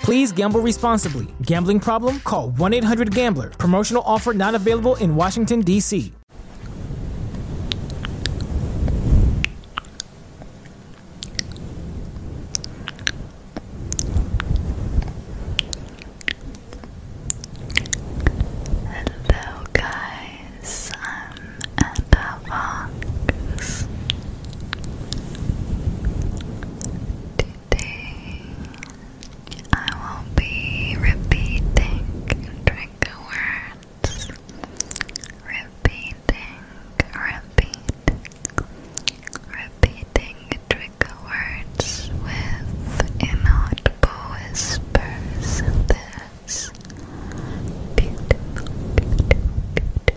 Please gamble responsibly. Gambling problem? Call 1 800 Gambler. Promotional offer not available in Washington, D.C. Hello, guys. Metavox. Today I will be repeating trigger words. Repeating, repeat, repeating trigger words with inaudible whispers. This beautiful, beautiful, beautiful.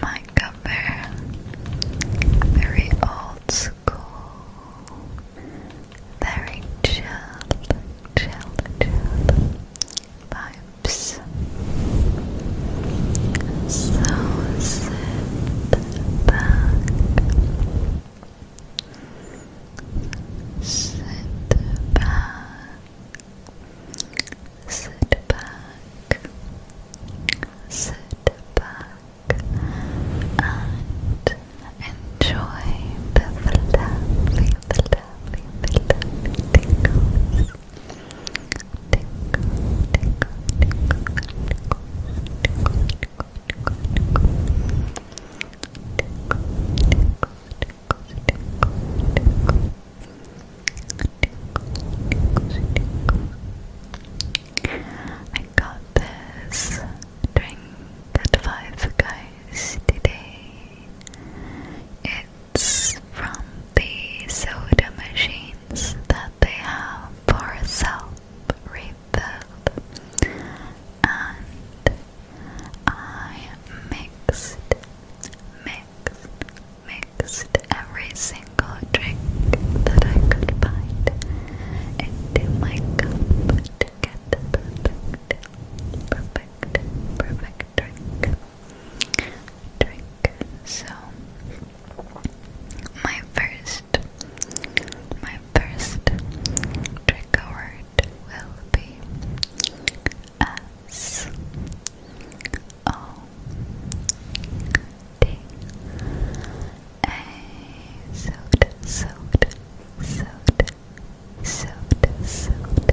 My cover, very old school, very chill, chill, chill vibes. So sit back, sit back, sit back, sit back, and enjoy the lovely, the lovely, the lovely tingles. I got this drink at five guys today. It from the soda machines that they have for self and I mixed, mixed, mixed every single drink that I could find into my cup perfect, perfect, perfect drink drink. So my first my first trigger word will be S O D A soda soda soda soda soda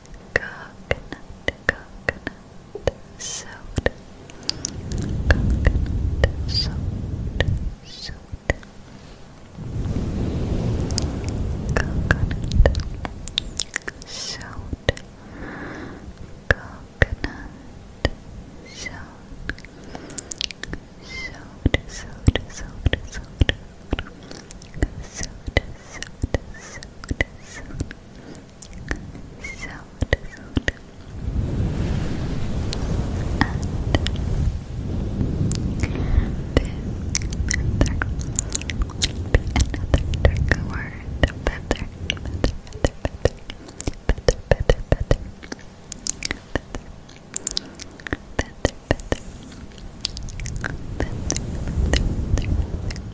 coconut, coconut soda, coconut soda, soda, coconut soda, coconut soda, soda, soda, soda, soda. Soda, soda, soda, soda, sound, sound, and the another word, better, better, better, better, better, better, better, better, better, better, better, better,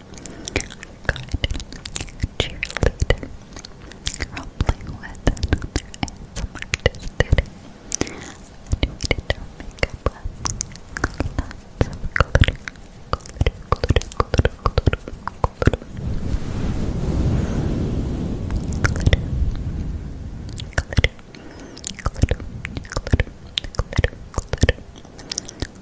Good cheerleader. Rompling with another handsome artist today. And we of glitter, glitter, glitter, glitter, glitter, glitter. Glitter, glitter, glitter, glitter, glitter, glitter. Glitter, glitter, glitter, glitter, glitter, glitter, glitter, glitter, glitter, glitter, glitter, glitter, glitter, glitter, glitter, glitter, glitter, glitter,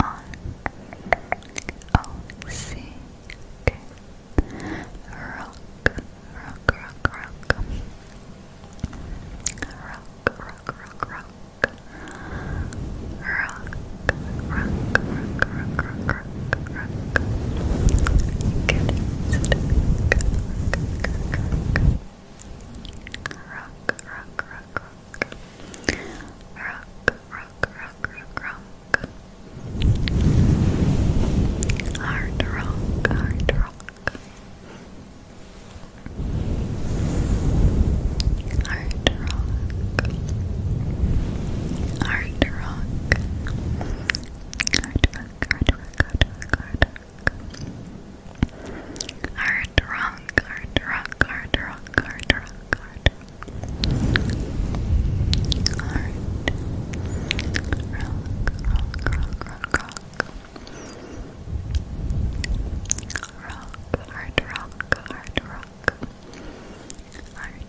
R O C K Rock Rock Rock Rock Rock Rock Rock Rock Rock Rock Rock Rock Rock Rock Good rock rock rock rock rock rock, rock, rock, rock, rock. Hard rock, hard rock. Hard rock. Hard rock. Hard rock, hard rock, hard rock, hard rock. Hard rock, hard rock, hard rock, hard rock, hard rock. Heart. Rock, rock, rock, rock, rock. Rock, hard rock, hard rock. Hard Space,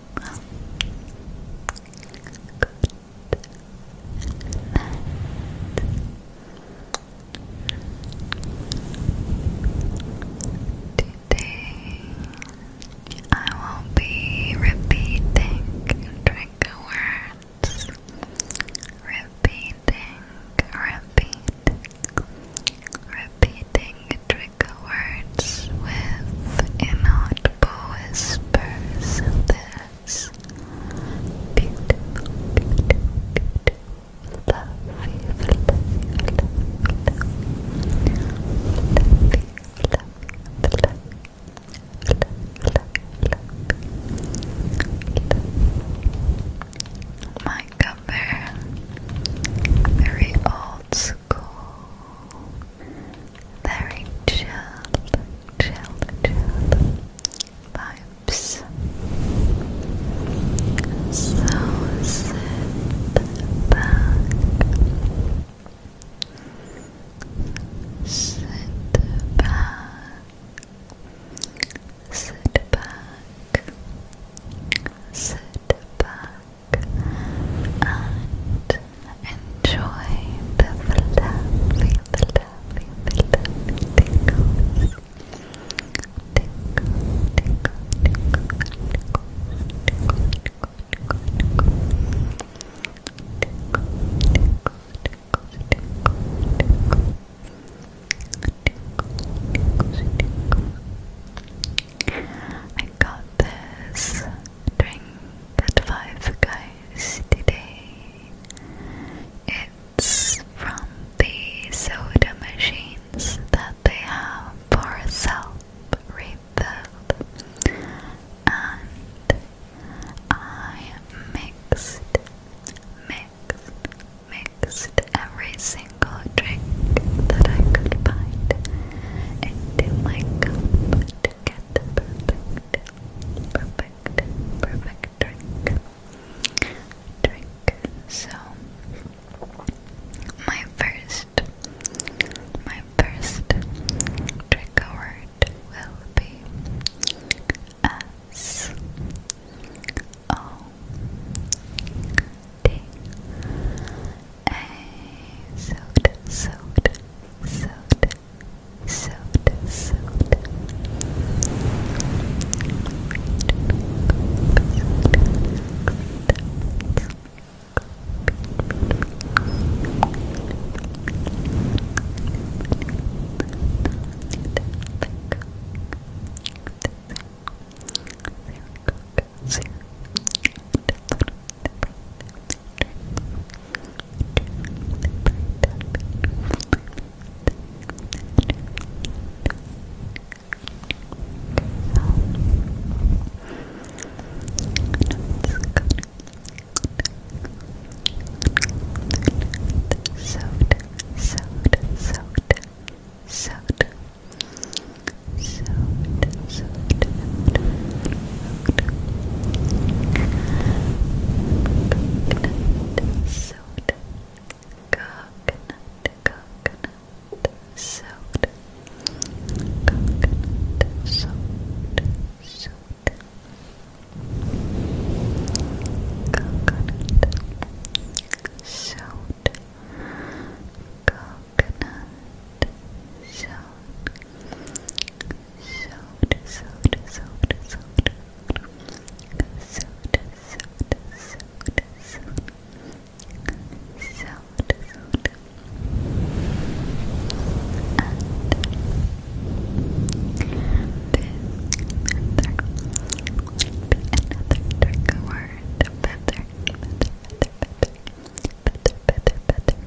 like that. Today I will be repeating trigger words. Repeating, repeating, repeating trigger words with inaudible whispers this beautiful, beautiful, beautiful, fluffy, fluffy, fluffy, fluffy, fluffy, fluffy. My cover, very old school very chilled, chilled, chilled vibes. So sit back, sit back, sit back, sit back and enjoy the fluffy, fluffy, fluffy tingles. Tingle, tingle, tingle, I got this drink at 5 guys today. It's from the soda machines that they have for self-refill. And I mixed, mixed, mixed every single drink that I could find into my cup to perfect, perfect, perfect drink. Drink. So, my first, my first trigger word will be S O oh, day. A soda, soda, soda, soda, soda. Soda, soda, soda, soda, so so soda coconut coconut soda coconut soda soda coconut soda coconut soda, soda, soda, soda, soda, soda, soda, soda, soda, soda, soda, and this another, another dark word, feather, feather, feather, feather, feather, feather,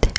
Tip,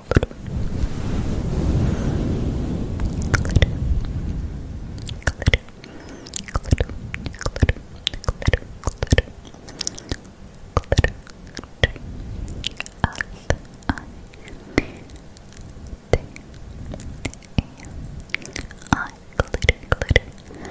glitter, glitter, glitter, glitter, glitter, glitter, glitter. Glitter, glitter. L I T A I glitter, glitter, glitter, glitter, glitter.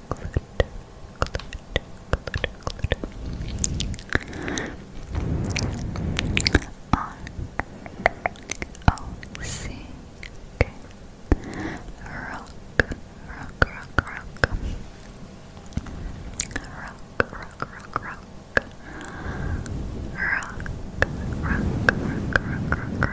Clutter, clutter, clutter, clutter. On O C K Rock, rock, rock, rock. Rock, rock, rock, rock. Rock, rock, rock, rock, rock, rock.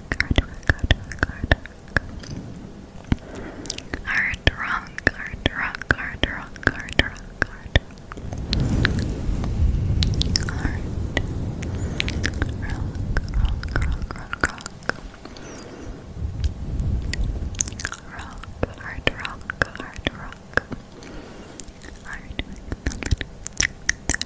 artwork, artwork, artwork. Art rock, art rock, art rock, art rock, art. Rock, rock, rock, rock, rock. Rock, art rock, art rock. Art.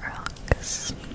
rocks. Building,